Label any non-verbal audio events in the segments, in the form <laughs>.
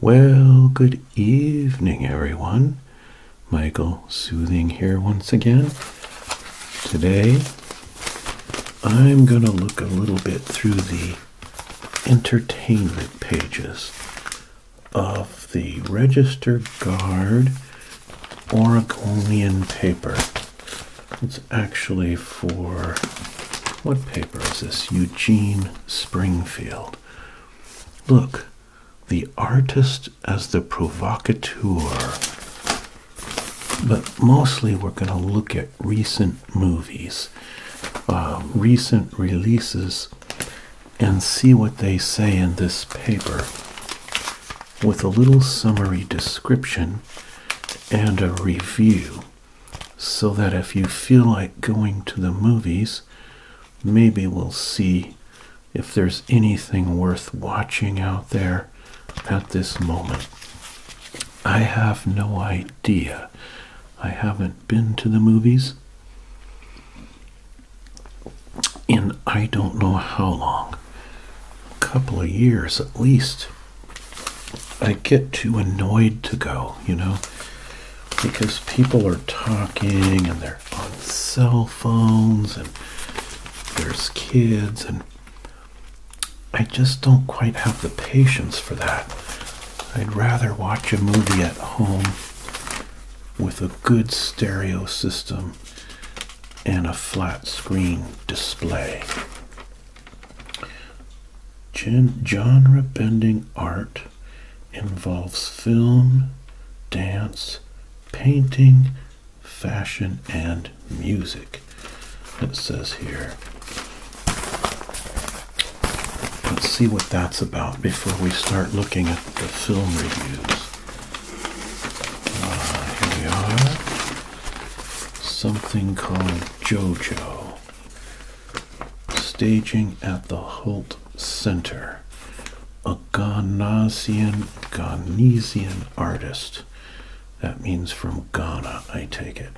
Well, good evening, everyone. Michael Soothing here once again. Today, I'm going to look a little bit through the entertainment pages of the Register Guard Oregonian paper. It's actually for what paper is this? Eugene Springfield. Look, the artist as the provocateur. But mostly we're going to look at recent movies, uh, recent releases, and see what they say in this paper with a little summary description and a review so that if you feel like going to the movies, maybe we'll see if there's anything worth watching out there at this moment. I have no idea. I haven't been to the movies in I don't know how long. A couple of years at least. I get too annoyed to go, you know because people are talking and they're on cell phones and there's kids and I just don't quite have the patience for that. I'd rather watch a movie at home with a good stereo system and a flat screen display. Gen genre bending art involves film, dance, painting, fashion, and music. It says here. Let's see what that's about before we start looking at the film reviews. Uh, here we are. Something called JoJo staging at the Holt Center, a Ghanaian Ghanesian artist. That means from Ghana, I take it.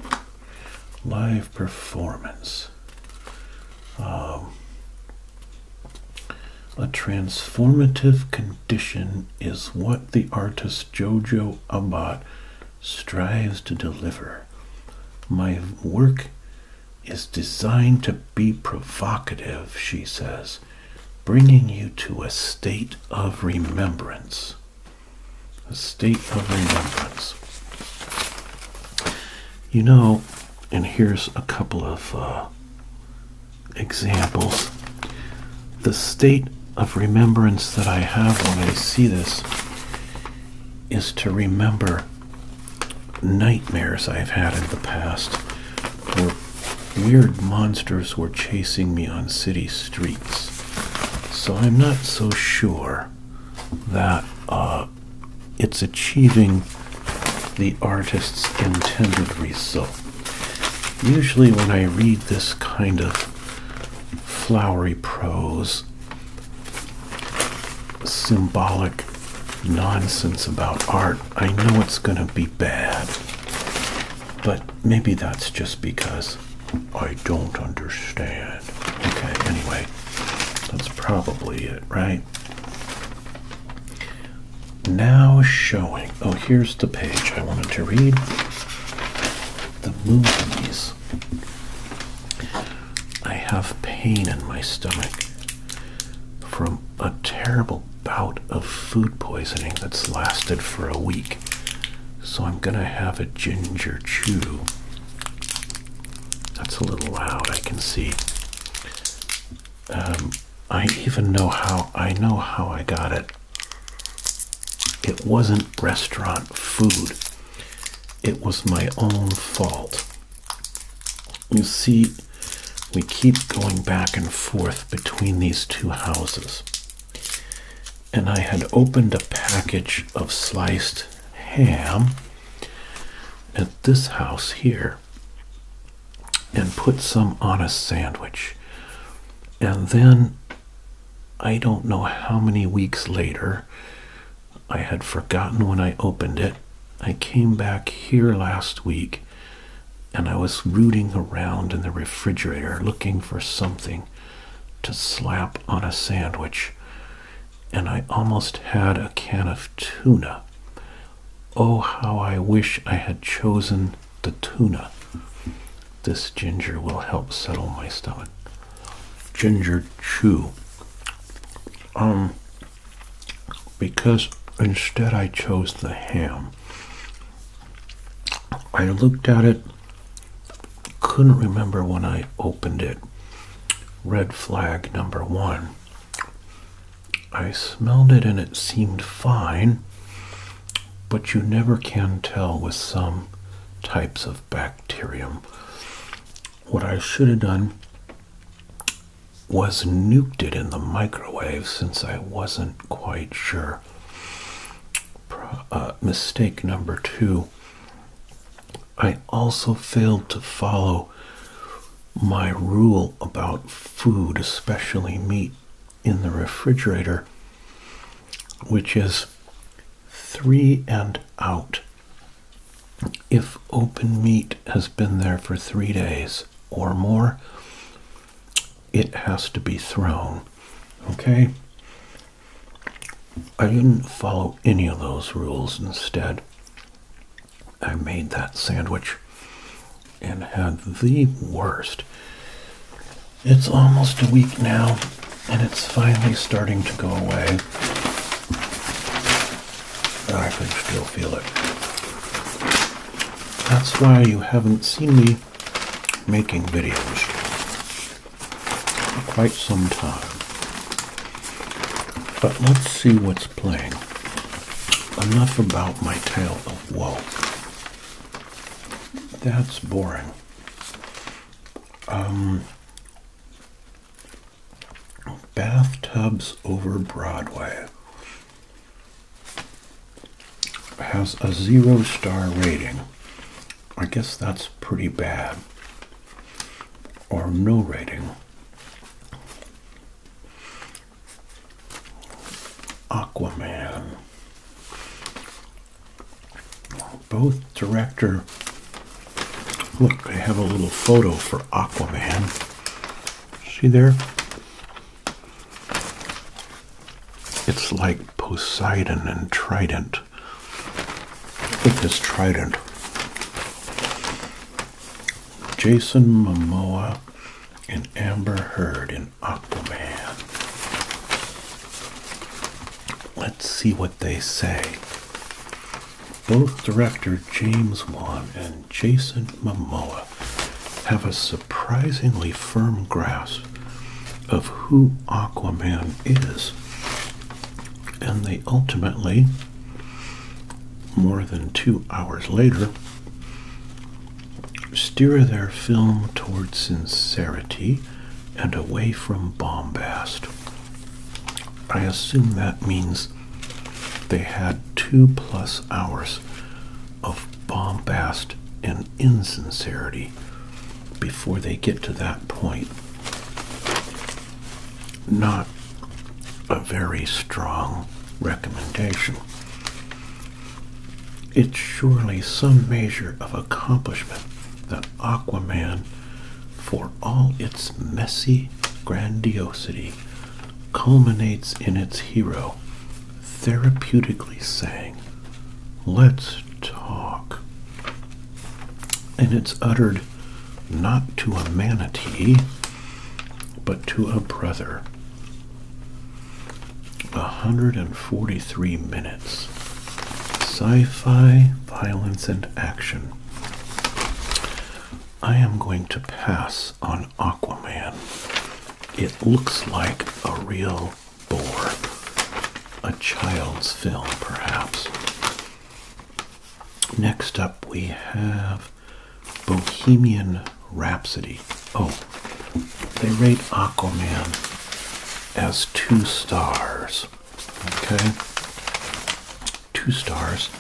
Live performance. Um, a transformative condition is what the artist Jojo Abat strives to deliver. My work is designed to be provocative, she says, bringing you to a state of remembrance. A state of remembrance. You know, and here's a couple of uh, examples. The state of remembrance that I have when I see this is to remember nightmares I've had in the past were weird monsters were chasing me on city streets. So I'm not so sure that uh, it's achieving the artist's intended result. Usually, when I read this kind of flowery prose, symbolic nonsense about art, I know it's going to be bad. But maybe that's just because I don't understand. Okay, anyway, that's probably it, right? Now showing. Oh, here's the page I wanted to read. The movies. I have pain in my stomach from a terrible bout of food poisoning that's lasted for a week. So I'm gonna have a ginger chew. That's a little loud, I can see. Um, I even know how I know how I got it. It wasn't restaurant food. It was my own fault you see we keep going back and forth between these two houses and I had opened a package of sliced ham at this house here and put some on a sandwich and then I don't know how many weeks later I had forgotten when I opened it. I came back here last week and I was rooting around in the refrigerator looking for something to slap on a sandwich. And I almost had a can of tuna. Oh, how I wish I had chosen the tuna. This ginger will help settle my stomach. Ginger chew. Um, because instead I chose the ham. I looked at it, couldn't remember when I opened it. Red flag number one. I smelled it and it seemed fine, but you never can tell with some types of bacterium. What I should have done was nuked it in the microwave since I wasn't quite sure. Uh, mistake number two. I also failed to follow my rule about food, especially meat, in the refrigerator, which is three and out. If open meat has been there for three days or more, it has to be thrown. Okay? I didn't follow any of those rules. Instead, I made that sandwich and had the worst. It's almost a week now, and it's finally starting to go away. I can still feel it. That's why you haven't seen me making videos for quite some time. But let's see what's playing. Enough about my tale of woe. That's boring. Um, Bathtubs Over Broadway has a zero star rating. I guess that's pretty bad. Or no rating. Aquaman. Both director. Look, I have a little photo for Aquaman. See there? It's like Poseidon and Trident. Look at this Trident. Jason Momoa and Amber Heard in Aquaman. Let's see what they say. Both director James Wan and Jason Momoa have a surprisingly firm grasp of who Aquaman is, and they ultimately, more than two hours later, steer their film toward sincerity and away from bombast. I assume that means they had two plus hours of bombast and insincerity before they get to that point. Not a very strong recommendation. It's surely some measure of accomplishment that Aquaman, for all its messy grandiosity, culminates in its hero therapeutically saying, Let's talk. And it's uttered not to a manatee, but to a brother. 143 minutes. Sci fi, violence, and action. I am going to pass on Aquaman, it looks like a real bore. a child's film perhaps. Next up, we have Bohemian Rhapsody. Oh, they rate Aquaman as two stars. Okay, two stars.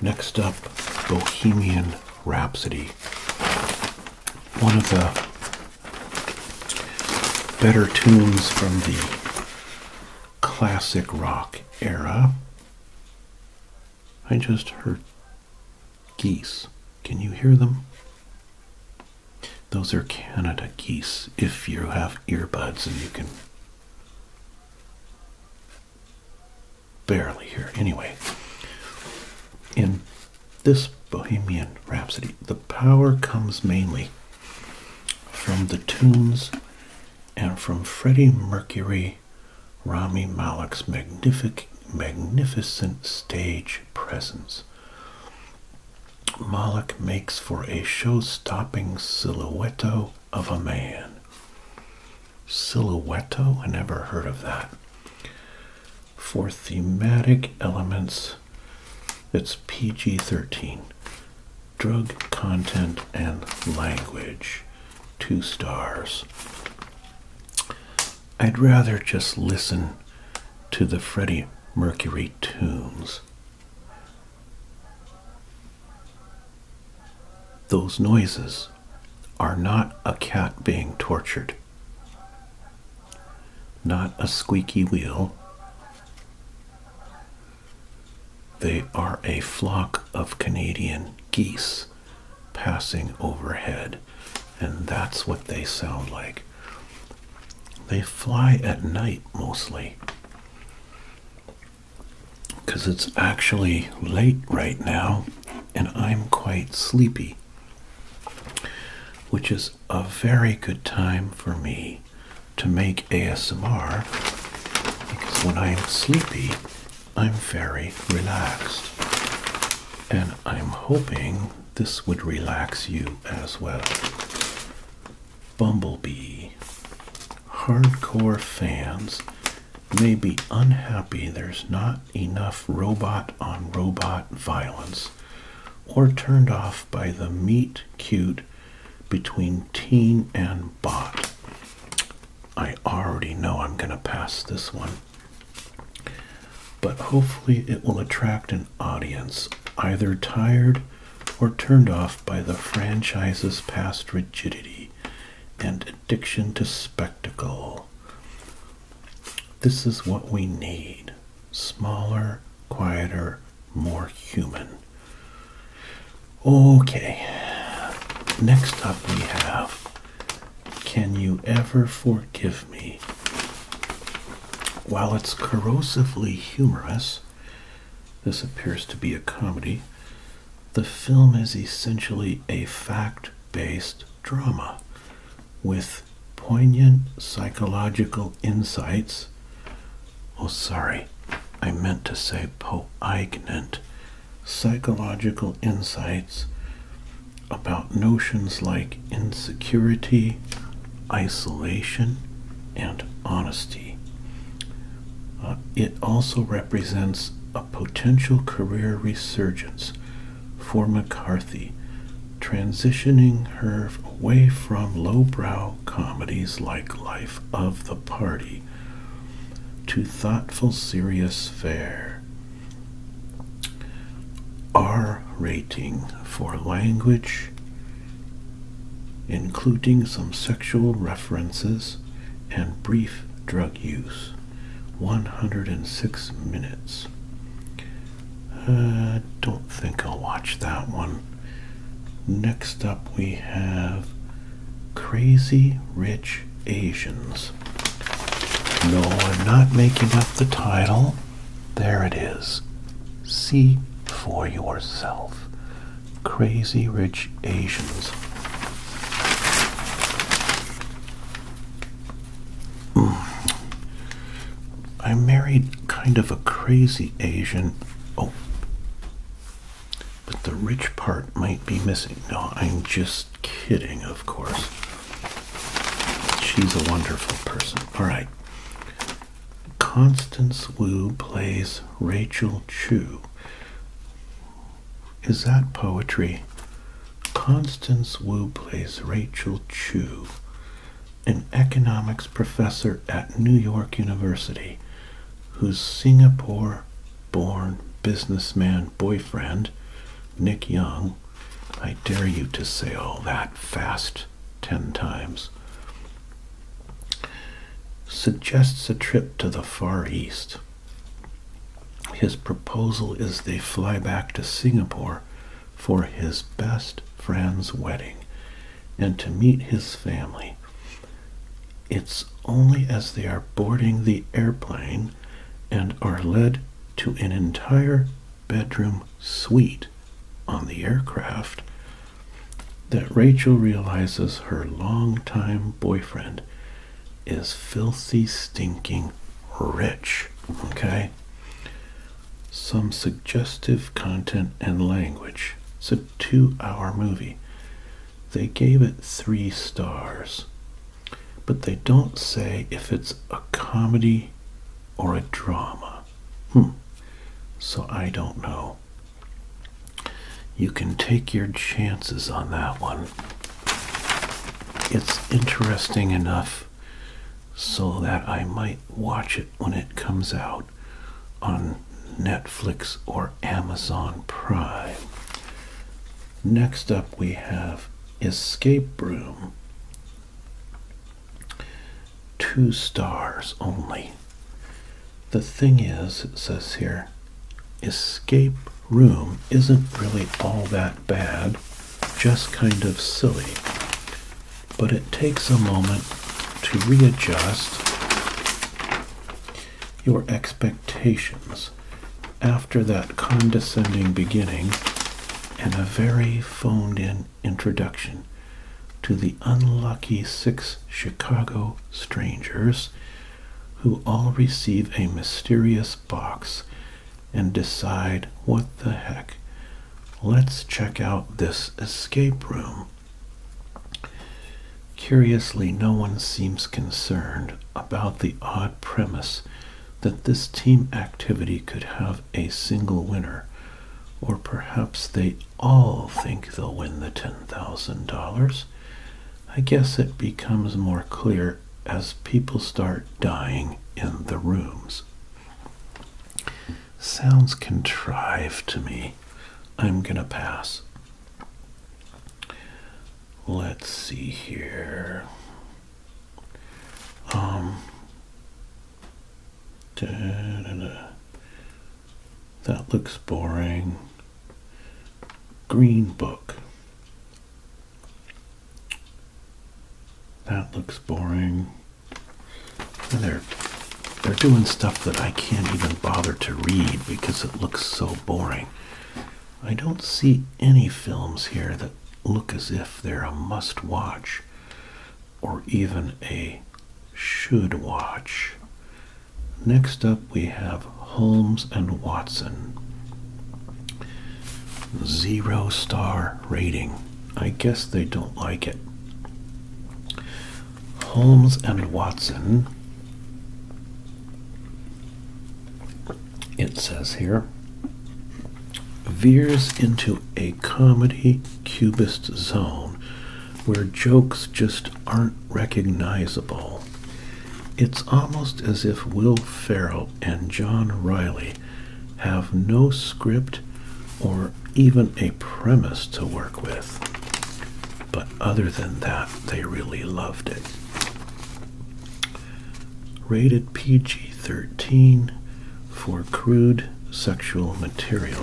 Next up, Bohemian Rhapsody. One of the better tunes from the classic rock era. I just heard geese. Can you hear them? Those are Canada geese if you have earbuds and you can barely here. Anyway, in this Bohemian Rhapsody, the power comes mainly from the tunes and from Freddie Mercury, Rami Malek's magnific magnificent stage presence. Malek makes for a show-stopping silhouetto of a man. Silhouetto? I never heard of that. For thematic elements, it's PG 13. Drug content and language. Two stars. I'd rather just listen to the Freddie Mercury tunes. Those noises are not a cat being tortured, not a squeaky wheel. They are a flock of Canadian geese passing overhead, and that's what they sound like. They fly at night mostly because it's actually late right now and I'm quite sleepy, which is a very good time for me to make ASMR because when I'm sleepy, I'm very relaxed. And I'm hoping this would relax you as well. Bumblebee. Hardcore fans may be unhappy there's not enough robot on robot violence or turned off by the meet cute between teen and bot. I already know I'm going to pass this one. But hopefully it will attract an audience either tired or turned off by the franchise's past rigidity and addiction to spectacle. This is what we need smaller, quieter, more human. Okay, next up we have Can You Ever Forgive Me? While it's corrosively humorous, this appears to be a comedy. The film is essentially a fact based drama with poignant psychological insights. Oh, sorry, I meant to say poignant psychological insights about notions like insecurity, isolation, and honesty. Uh, it also represents a potential career resurgence for McCarthy, transitioning her away from lowbrow comedies like Life of the Party to thoughtful, serious fare. R rating for language, including some sexual references and brief drug use. 106 minutes. I uh, don't think I'll watch that one. Next up, we have Crazy Rich Asians. No, I'm not making up the title. There it is. See for yourself. Crazy Rich Asians. Hmm. I married kind of a crazy Asian. Oh. But the rich part might be missing. No, I'm just kidding, of course. She's a wonderful person. All right. Constance Wu plays Rachel Chu. Is that poetry? Constance Wu plays Rachel Chu, an economics professor at New York University, whose Singapore born businessman boyfriend, Nick Young, I dare you to say all that fast ten times, suggests a trip to the Far East his proposal is they fly back to Singapore for his best friend's wedding and to meet his family. It's only as they are boarding the airplane and are led to an entire bedroom suite on the aircraft that Rachel realizes her longtime boyfriend is filthy, stinking rich. Okay? Some suggestive content and language. It's a two hour movie. They gave it three stars, but they don't say if it's a comedy or a drama. Hmm. So I don't know. You can take your chances on that one it's interesting enough so that I might watch it when it comes out on Netflix or Amazon Prime. Next up, we have Escape Room. Two stars only. The thing is, it says here, Escape Room isn't really all that bad just kind of silly. But it takes a moment to readjust your expectations after that condescending beginning and a very phoned in introduction to the unlucky six Chicago strangers who all receive a mysterious box and decide what the heck. Let's check out this escape room. Curiously, no one seems concerned about the odd premise that this team activity could have a single winner. Or perhaps they all think they'll win the $10,000. I guess it becomes more clear as people start dying in the rooms. Sounds contrived to me. I'm going to pass. Let's see here. Um, that looks boring. Green Book. That looks boring. they're they're doing stuff that I can't even bother to read because it looks so boring. I don't see any films here that look as if they're a must watch or even a should watch. Next up, we have Holmes and Watson. Zero star rating. I guess they don't like it. Holmes and Watson. It says here veers into a comedy cubist zone where jokes just aren't recognizable. It's almost as if Will Ferrell and John Riley have no script or even a premise to work with. But other than that, they really loved it. Rated PG 13 for crude sexual material.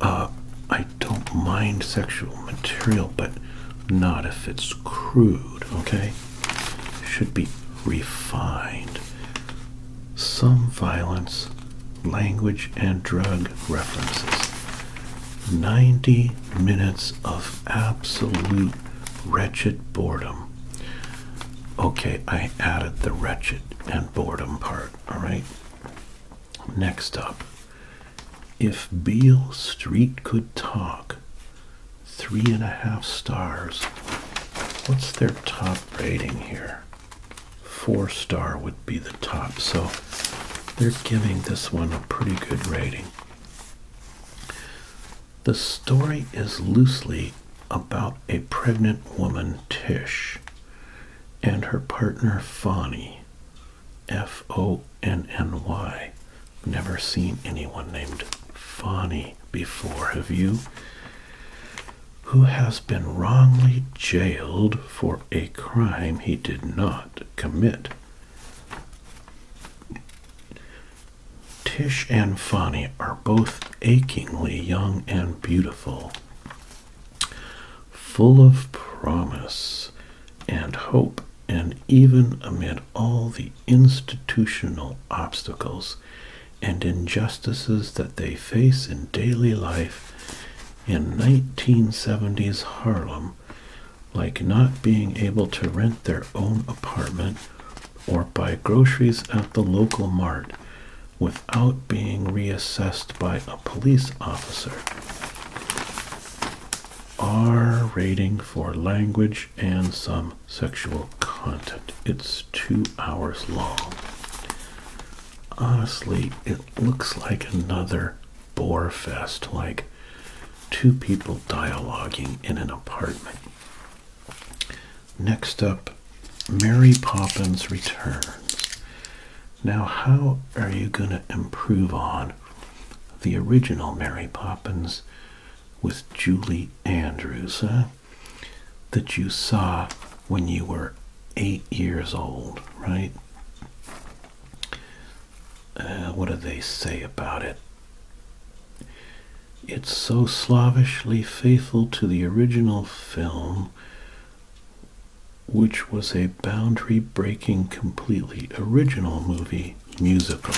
Uh, I don't mind sexual material, but not if it's crude, okay? should be refined. Some violence, language, and drug references. 90 minutes of absolute wretched boredom. Okay, I added the wretched and boredom part, alright? Next up, if Beale Street could talk, three and a half stars. What's their top rating here? Four star would be the top. So they're giving this one a pretty good rating. The story is loosely about a pregnant woman, Tish, and her partner, Fanny, F O N N Y, never seen anyone named Fonny before, have you? Who has been wrongly jailed for a crime he did not commit. Tish and Fonny are both achingly young and beautiful, full of promise and hope and even amid all the institutional obstacles and injustices that they face in daily life in 1970s Harlem, like not being able to rent their own apartment or buy groceries at the local mart without being reassessed by a police officer. R rating for language and some sexual content. It's two hours long. Honestly, it looks like another bore fest, like two people dialoguing in an apartment. Next up, Mary Poppins Returns. Now, how are you going to improve on the original Mary Poppins with Julie Andrews, That you saw when you were eight years old, right? Uh, what do they say about it? It's so slavishly faithful to the original film, which was a boundary breaking, completely original movie musical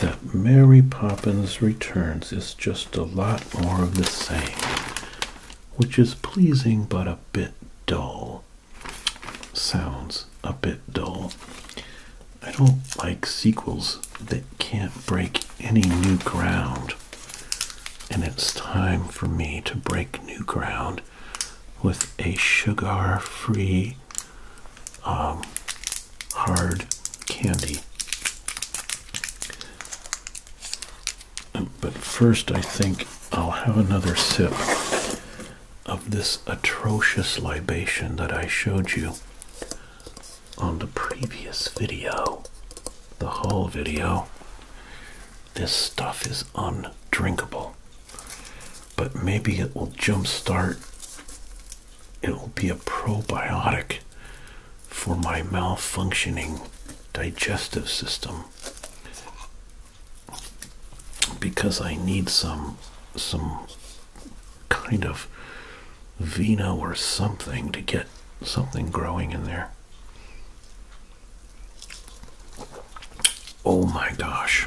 that Mary Poppins Returns is just a lot more of the same, which is pleasing but a bit dull. Sounds a bit dull. I don't like sequels that can't break any new ground. And it's time for me to break new ground with a sugar free um, hard candy. But first, I think I'll have another sip of this atrocious libation that I showed you on the previous video, the whole video. This stuff is undrinkable, but maybe it will jumpstart it will be a probiotic for my malfunctioning digestive system because I need some some kind of vino or something to get something growing in there. Oh my gosh.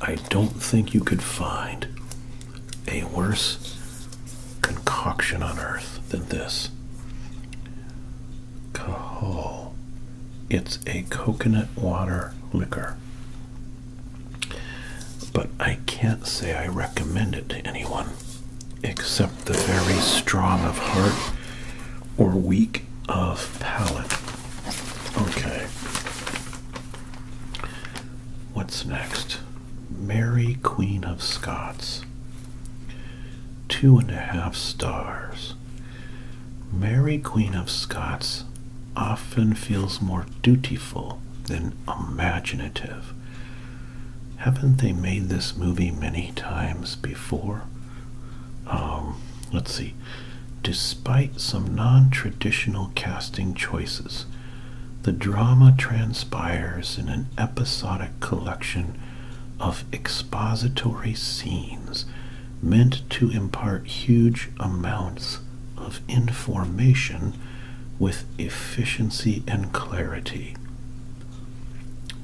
I don't think you could find a worse concoction on earth than this. Cahol. It's a coconut water liquor. But I can't say I recommend it to anyone except the very strong of heart or weak of palate. Okay. What's next? Mary, Queen of Scots. Two and a half stars. Mary, Queen of Scots, often feels more dutiful than imaginative. Haven't they made this movie many times before? Um, let's see. Despite some non traditional casting choices, the drama transpires in an episodic collection of expository scenes meant to impart huge amounts of information with efficiency and clarity.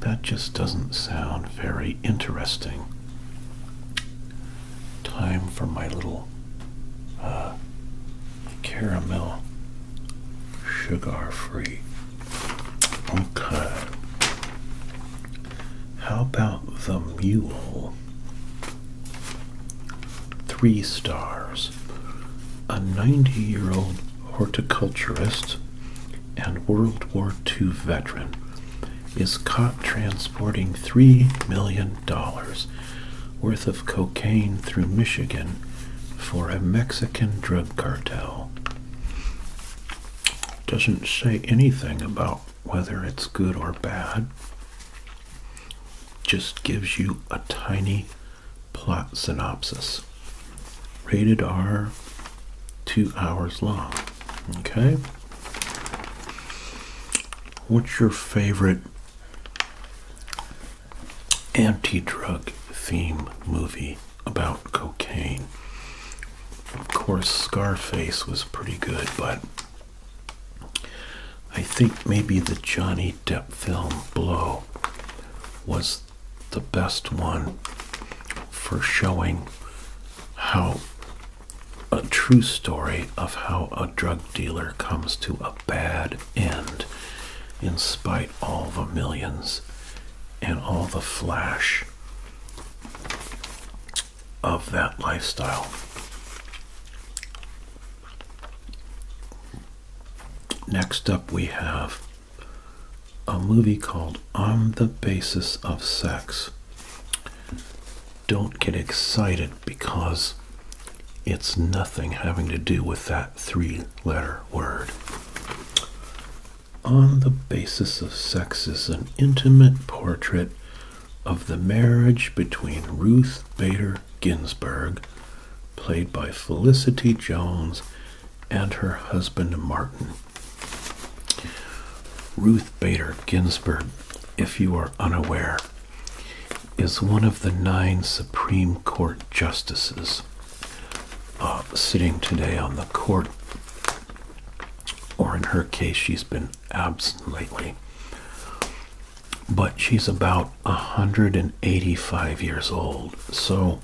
That just doesn't sound very interesting time for my little uh, caramel sugar free. Okay. How about the mule? Three stars. A 90 year old horticulturist and World War II veteran is caught transporting $3 million worth of cocaine through Michigan for a Mexican drug cartel. Doesn't say anything about whether it's good or bad. Just gives you a tiny plot synopsis. Rated R, two hours long. Okay? What's your favorite anti drug theme movie about cocaine. Of course, Scarface was pretty good, but I think maybe the Johnny Depp film Blow was the best one for showing how a true story of how a drug dealer comes to a bad end in spite all the millions and all the flash of that lifestyle. Next up, we have a movie called On the Basis of Sex. Don't get excited because it's nothing having to do with that three letter word. On the basis of sex is an intimate portrait of the marriage between Ruth Bader Ginsburg, played by Felicity Jones, and her husband Martin. Ruth Bader Ginsburg, if you are unaware, is one of the nine Supreme Court justices uh, sitting today on the court. Or in her case, she's been absent lately. But she's about 185 years old. So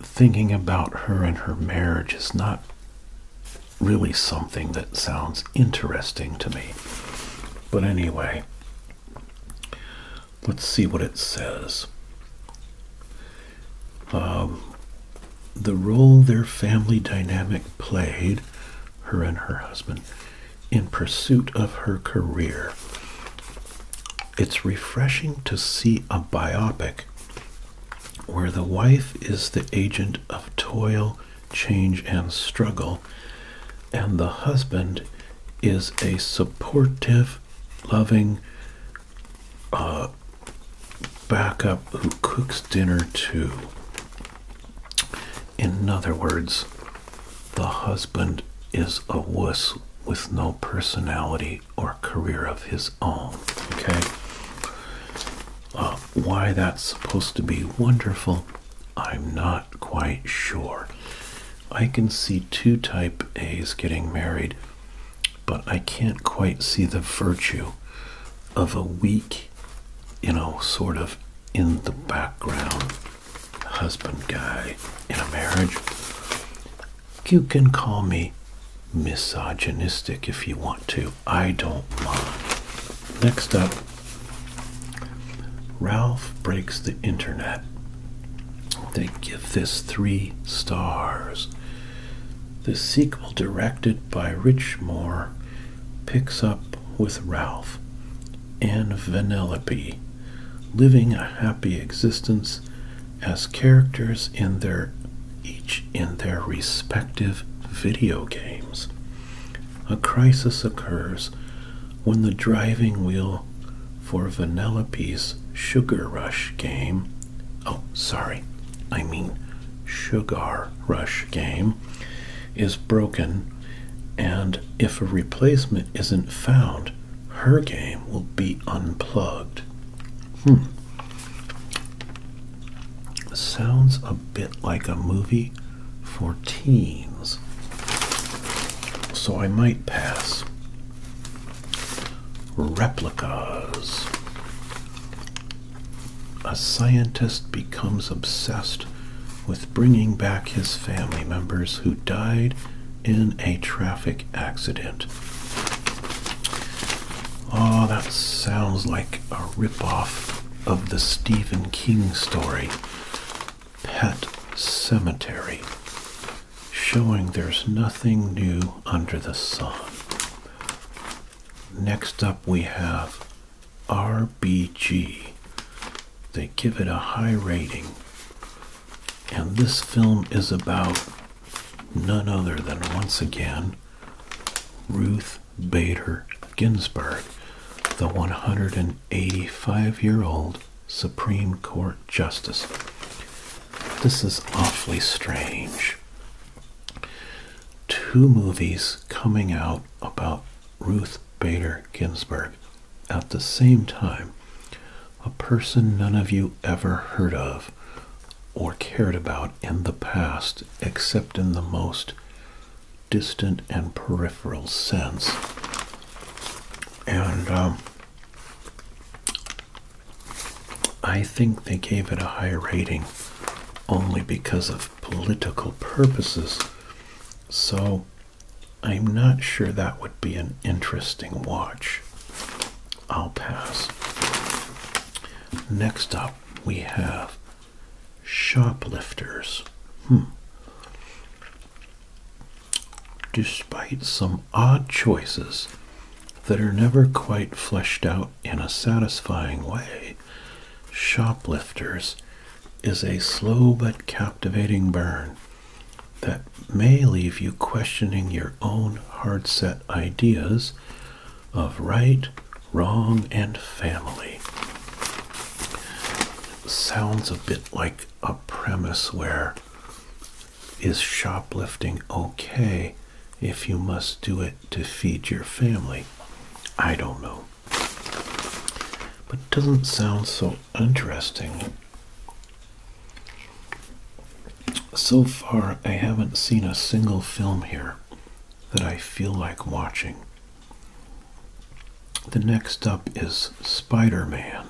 thinking about her and her marriage is not really something that sounds interesting to me. But anyway, let's see what it says. Um, the role their family dynamic played, her and her husband, in pursuit of her career. It's refreshing to see a biopic where the wife is the agent of toil change and struggle. And the husband is a supportive, loving uh, backup who cooks dinner too. In other words, the husband is a wuss with no personality or career of his own. Okay? Uh, why that's supposed to be wonderful I'm not quite sure. I can see two type A's getting married, but I can't quite see the virtue of a weak, you know, sort of in the background husband guy in a marriage. You can call me misogynistic if you want to. I don't mind. Next up, Ralph breaks the internet. They give this three stars. The sequel, directed by Rich Moore, picks up with Ralph and Vanellope living a happy existence as characters in their each in their respective video games. A crisis occurs when the driving wheel for Vanellope's Sugar Rush game, oh, sorry, I mean Sugar Rush game, is broken, and if a replacement isn't found, her game will be unplugged. Hmm. Sounds a bit like a movie for teens. So I might pass. Replicas. A scientist becomes obsessed with bringing back his family members who died in a traffic accident. Oh, that sounds like a ripoff of the Stephen King story Pet Cemetery, showing there's nothing new under the sun. Next up, we have RBG. They give it a high rating. And this film is about none other than, once again, Ruth Bader Ginsburg, the 185 year old Supreme Court Justice. This is awfully strange. Two movies coming out about Ruth Bader Ginsburg at the same time. A person none of you ever heard of or cared about in the past, except in the most distant and peripheral sense. And um, I think they gave it a high rating only because of political purposes. So I'm not sure that would be an interesting watch. I'll pass. Next up, we have shoplifters. Hmm. Despite some odd choices that are never quite fleshed out in a satisfying way, Shoplifters is a slow but captivating burn that may leave you questioning your own hard set ideas of right, wrong, and family sounds a bit like a premise where is shoplifting okay if you must do it to feed your family? I don't know. But it doesn't sound so interesting. So far, I haven't seen a single film here that I feel like watching. The next up is Spider Man.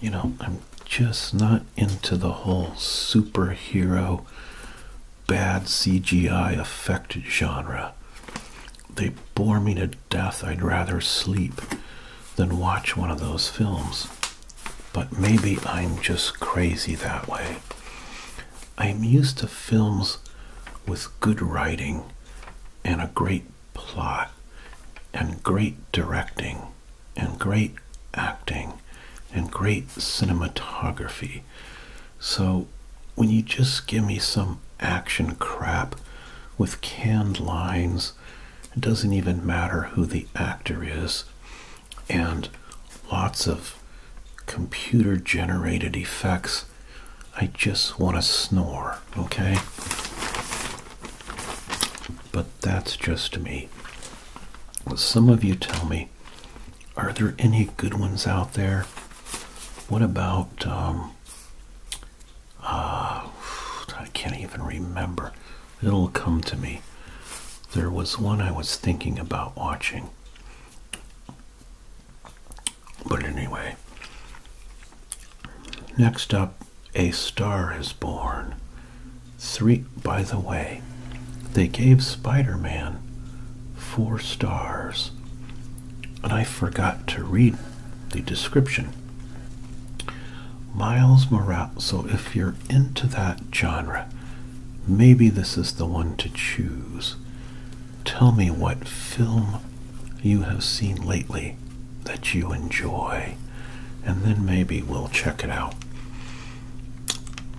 You know, I'm just not into the whole superhero bad CGI affected genre. They bore me to death. I'd rather sleep than watch one of those films. But maybe I'm just crazy that way. I'm used to films with good writing and a great plot and great directing and great acting and great cinematography. So when you just give me some action crap with canned lines, it doesn't even matter who the actor is, and lots of computer generated effects I just want to snore, okay? But that's just me. Some of you tell me, are there any good ones out there? What about, um, uh, I can't even remember. It'll come to me. There was one I was thinking about watching. But anyway, next up, A Star is Born. Three, by the way, they gave Spider Man four stars. And I forgot to read the description. Miles Morales. So if you're into that genre, maybe this is the one to choose. Tell me what film you have seen lately that you enjoy, and then maybe we'll check it out.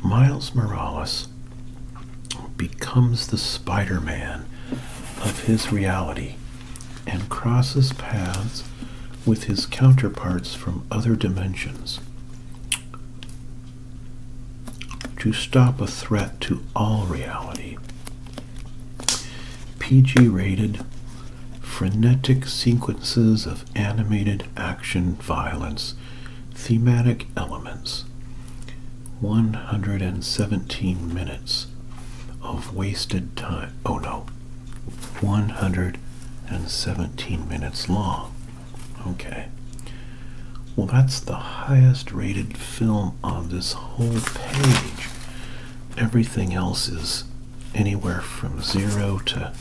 Miles Morales becomes the Spider Man of his reality and crosses paths with his counterparts from other dimensions. To stop a threat to all reality, PG rated frenetic sequences of animated action violence, thematic elements. 117 minutes of wasted time. Oh no. 117 minutes long. Okay. Well, that's the highest rated film on this whole page. Everything else is anywhere from zero to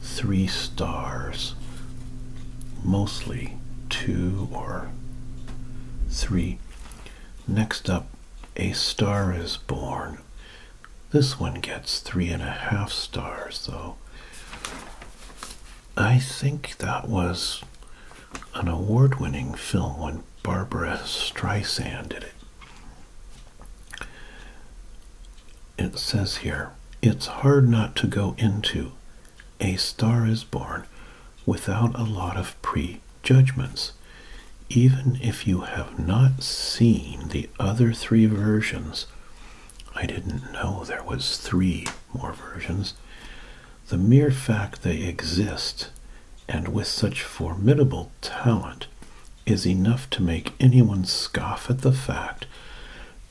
three stars, mostly two or three. Next up, A Star is Born. This one gets three and a half stars, though. I think that was an award winning film when Barbara Streisand did it. It says here, it's hard not to go into A Star is Born without a lot of prejudgments. Even if you have not seen the other three versions, I didn't know there was three more versions. The mere fact they exist, and with such formidable talent, is enough to make anyone scoff at the fact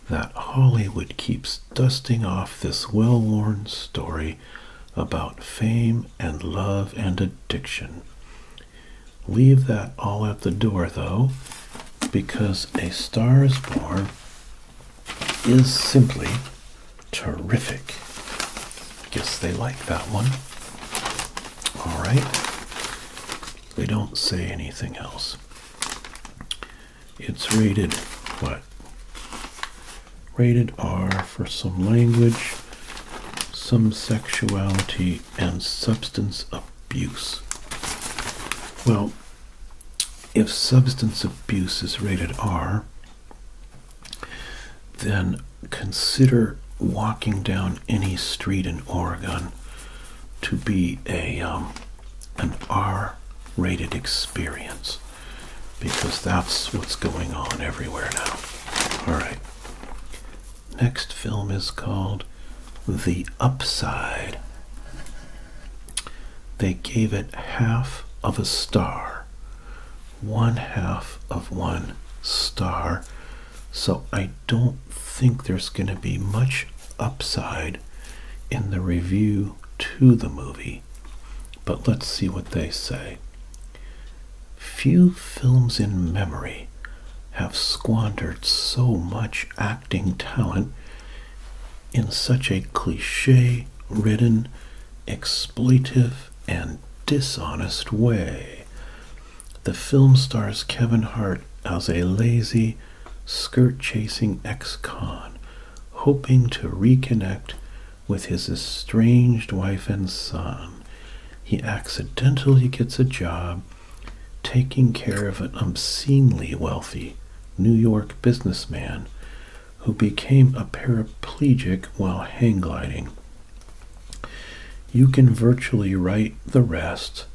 that Hollywood keeps dusting off this well worn story about fame and love and addiction. Leave that all at the door, though, because A Star is Born is simply Terrific. Guess they like that one. All right. They don't say anything else. It's rated what? Rated R for some language, some sexuality, and substance abuse. Well, if substance abuse is rated R, then consider walking down any street in Oregon to be a um, an R-rated experience because that's what's going on everywhere now. All right. Next film is called The Upside. They gave it half of a star one half of one star. So I don't think there's going to be much upside in the review to the movie. But let's see what they say. Few films in memory have squandered so much acting talent in such a cliche ridden, exploitative and dishonest way. The film stars Kevin Hart as a lazy, skirt chasing ex con, hoping to reconnect with his estranged wife and son. He accidentally gets a job taking care of an obscenely wealthy New York businessman who became a paraplegic while hang gliding you can virtually write the rest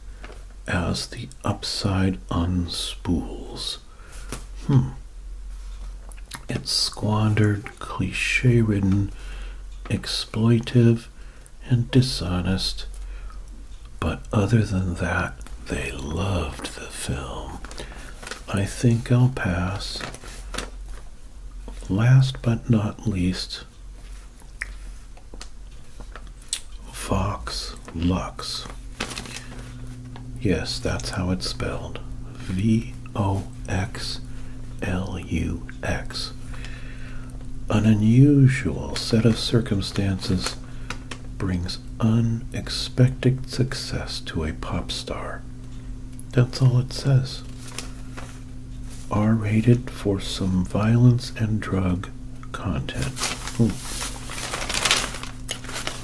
as the upside unspools. Hmm. It's squandered, cliche ridden, exploitative, and dishonest. But other than that, they loved the film. I think I'll pass last but not least, Vox Lux. Yes, that's how it's spelled. V O X L U X. An unusual set of circumstances brings unexpected success to a pop star. That's all it says. R rated for some violence and drug content. Ooh. Hmm.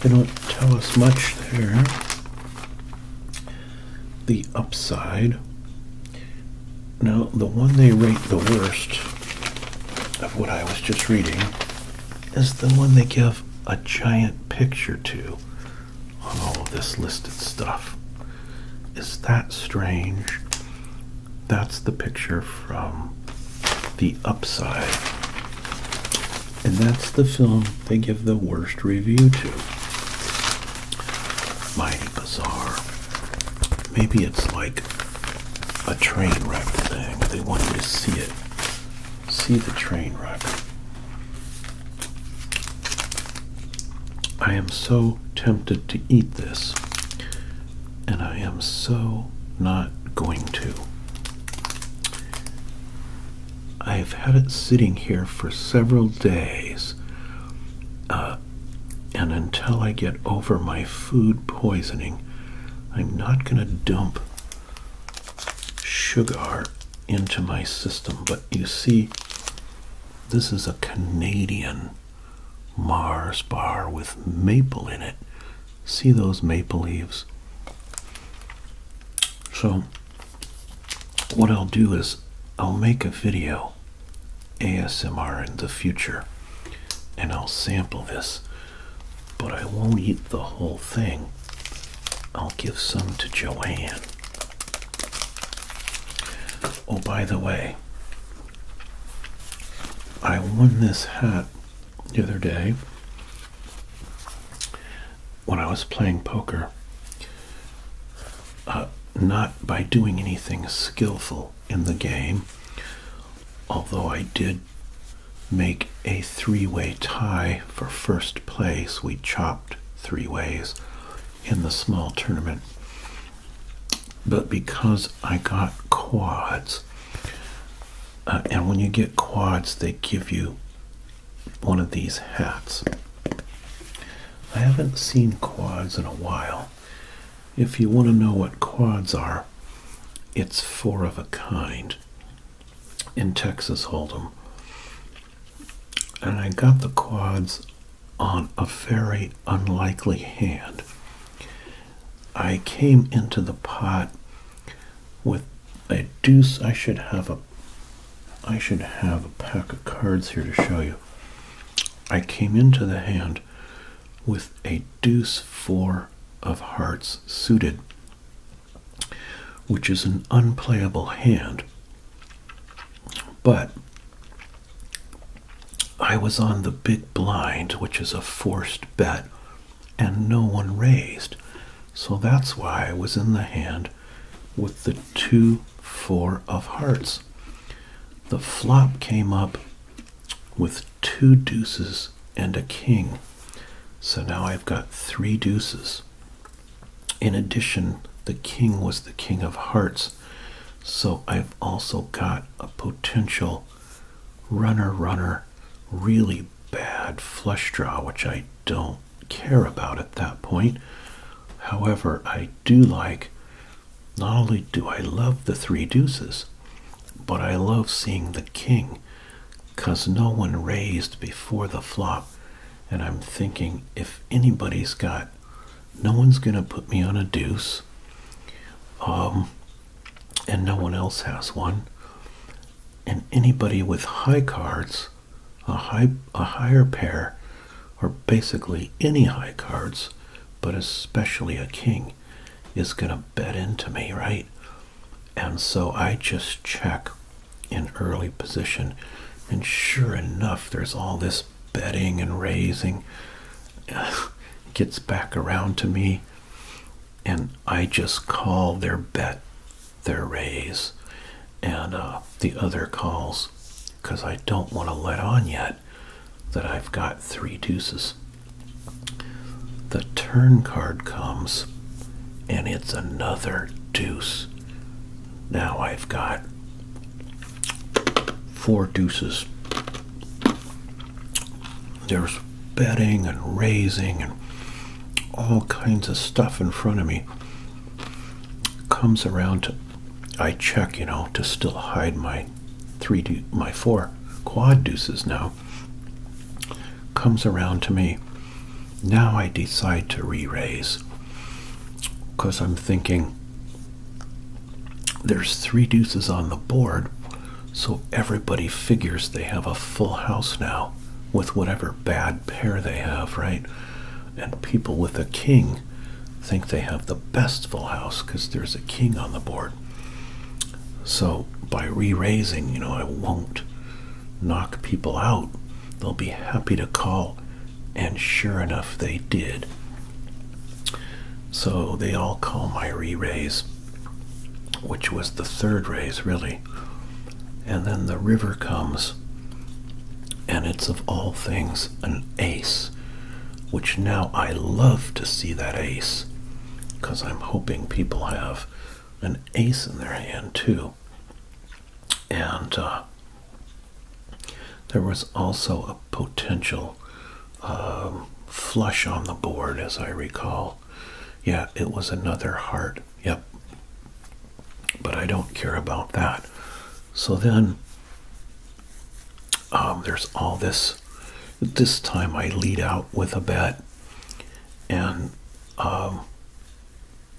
They don't tell us much there. The upside. Now, the one they rate the worst of what I was just reading is the one they give a giant picture to on all of this listed stuff. Is that strange? That's the picture from The Upside. And that's the film they give the worst review to. Mighty bizarre. Maybe it's like a train wreck thing. They want you to see it. See the train wreck. I am so tempted to eat this, and I am so not going to. I have had it sitting here for several days, uh, and until I get over my food poisoning, I'm not going to dump sugar into my system. But you see, this is a Canadian Mars bar with maple in it. See those maple leaves? So, what I'll do is I'll make a video ASMR in the future and I'll sample this, but I won't eat the whole thing. I'll give some to Joanne Oh, by the way, I won this hat the other day when I was playing poker. Uh, not by doing anything skillful in the game, although I did make a three way tie for first place. We chopped three ways in the small tournament. But because I got quads, uh, and when you get quads, they give you one of these hats. I haven't seen quads in a while. If you want to know what quads are, it's four of a kind in Texas Hold'em. And I got the quads on a very unlikely hand. I came into the pot with a deuce. I should have a I should have a pack of cards here to show you. I came into the hand with a deuce four of hearts suited, which is an unplayable hand. But I was on the big blind, which is a forced bet, and no one raised. So that's why I was in the hand with the 2 4 of hearts. The flop came up with two deuces and a king. So now I've got three deuces in addition, the king was the king of hearts. So I've also got a potential runner runner really bad flush draw, which I don't care about at that point. However, I do like, not only do I love the three deuces, but I love seeing the king because no one raised before the flop. And I'm thinking if anybody's got no one's going to put me on a deuce. Um, and no one else has one. And anybody with high cards, a high a higher pair, or basically any high cards, but especially a king, is gonna bet into me, right? And so I just check in early position, and sure enough, there's all this betting and raising <sighs> gets back around to me and I just call their bet their raise and uh, the other calls because I don't want to let on yet that I've got three deuces. The turn card comes and it's another deuce. Now I've got four deuces. There's betting and raising and all kinds of stuff in front of me. Comes around to, I check, you know, to still hide my three, my four quad deuces now. Comes around to me. Now I decide to re-raise because I'm thinking there's three deuces on the board, so everybody figures they have a full house now with whatever bad pair they have, right? And people with a king think they have the best full house because there's a king on the board. So by re raising, you know, I won't knock people out. They'll be happy to call and sure enough, they did. So they all call my re raise, which was the third raise, really. And then the river comes, and it's of all things an ace, which now I love to see that ace because I'm hoping people have an ace in their hand too. And uh, there was also a potential um, flush on the board, as I recall. Yeah, it was another heart. Yep. But I don't care about that. So then um, there's all this. This time I lead out with a bet. And um,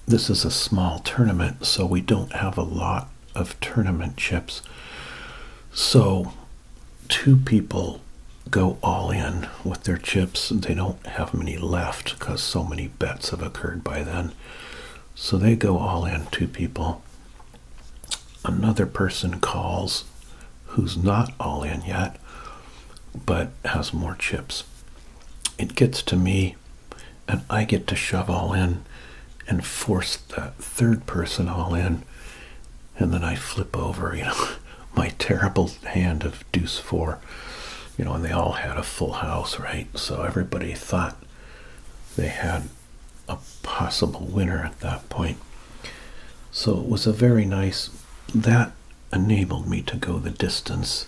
this is a small tournament, so we don't have a lot of tournament chips. So, two people go all in with their chips. They don't have many left because so many bets have occurred by then. So, they go all in, two people. Another person calls who's not all in yet, but has more chips. It gets to me and I get to shove all in and force that third person all in and then I flip over, you know, <laughs> my terrible hand of deuce four, you know, and they all had a full house, right? So everybody thought they had a possible winner at that point. So it was a very nice, that enabled me to go the distance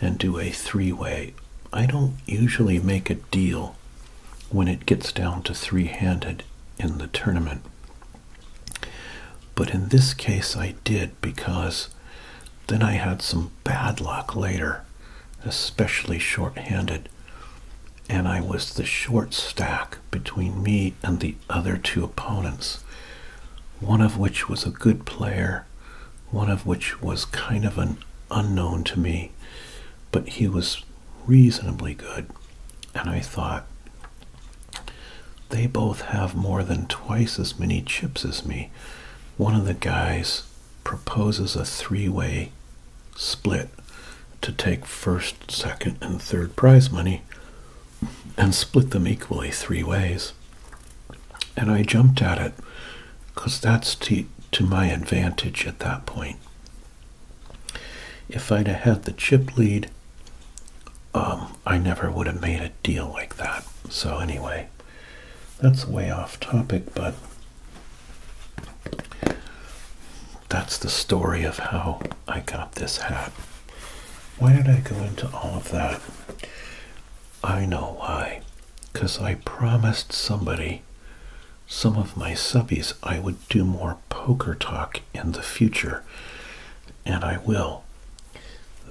and do a three way. I don't usually make a deal when it gets down to three handed in the tournament. But in this case, I did because then I had some bad luck later, especially short-handed, And I was the short stack between me and the other two opponents, one of which was a good player, one of which was kind of an unknown to me, but he was reasonably good. And I thought, they both have more than twice as many chips as me. One of the guys proposes a three way split to take first, second, and third prize money and split them equally three ways. And I jumped at it because that's to, to my advantage at that point. If I'd have had the chip lead, um, I never would have made a deal like that. So, anyway, that's way off topic, but that's the story of how I got this hat. Why did I go into all of that? I know why because I promised somebody, some of my subbies, I would do more poker talk in the future, and I will.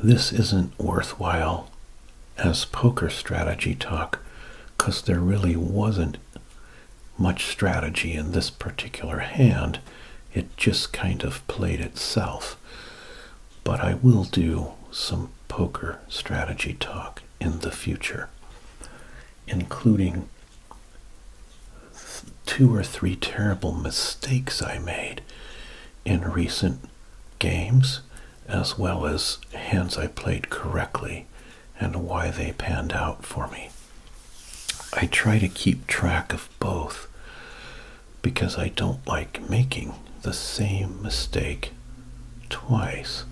This isn't worthwhile as poker strategy talk because there really wasn't much strategy in this particular hand. It just kind of played itself. But I will do some poker strategy talk in the future, including two or three terrible mistakes I made in recent games, as well as hands I played correctly and why they panned out for me. I try to keep track of both because I don't like making the same mistake twice.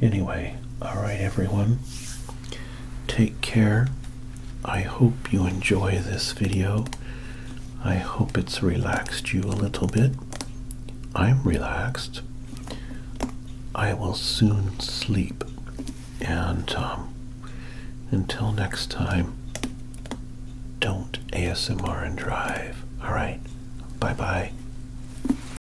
Anyway, alright everyone, take care. I hope you enjoy this video. I hope it's relaxed you a little bit. I'm relaxed. I will soon sleep. And um, until next time, don't ASMR and drive. All right. Bye bye.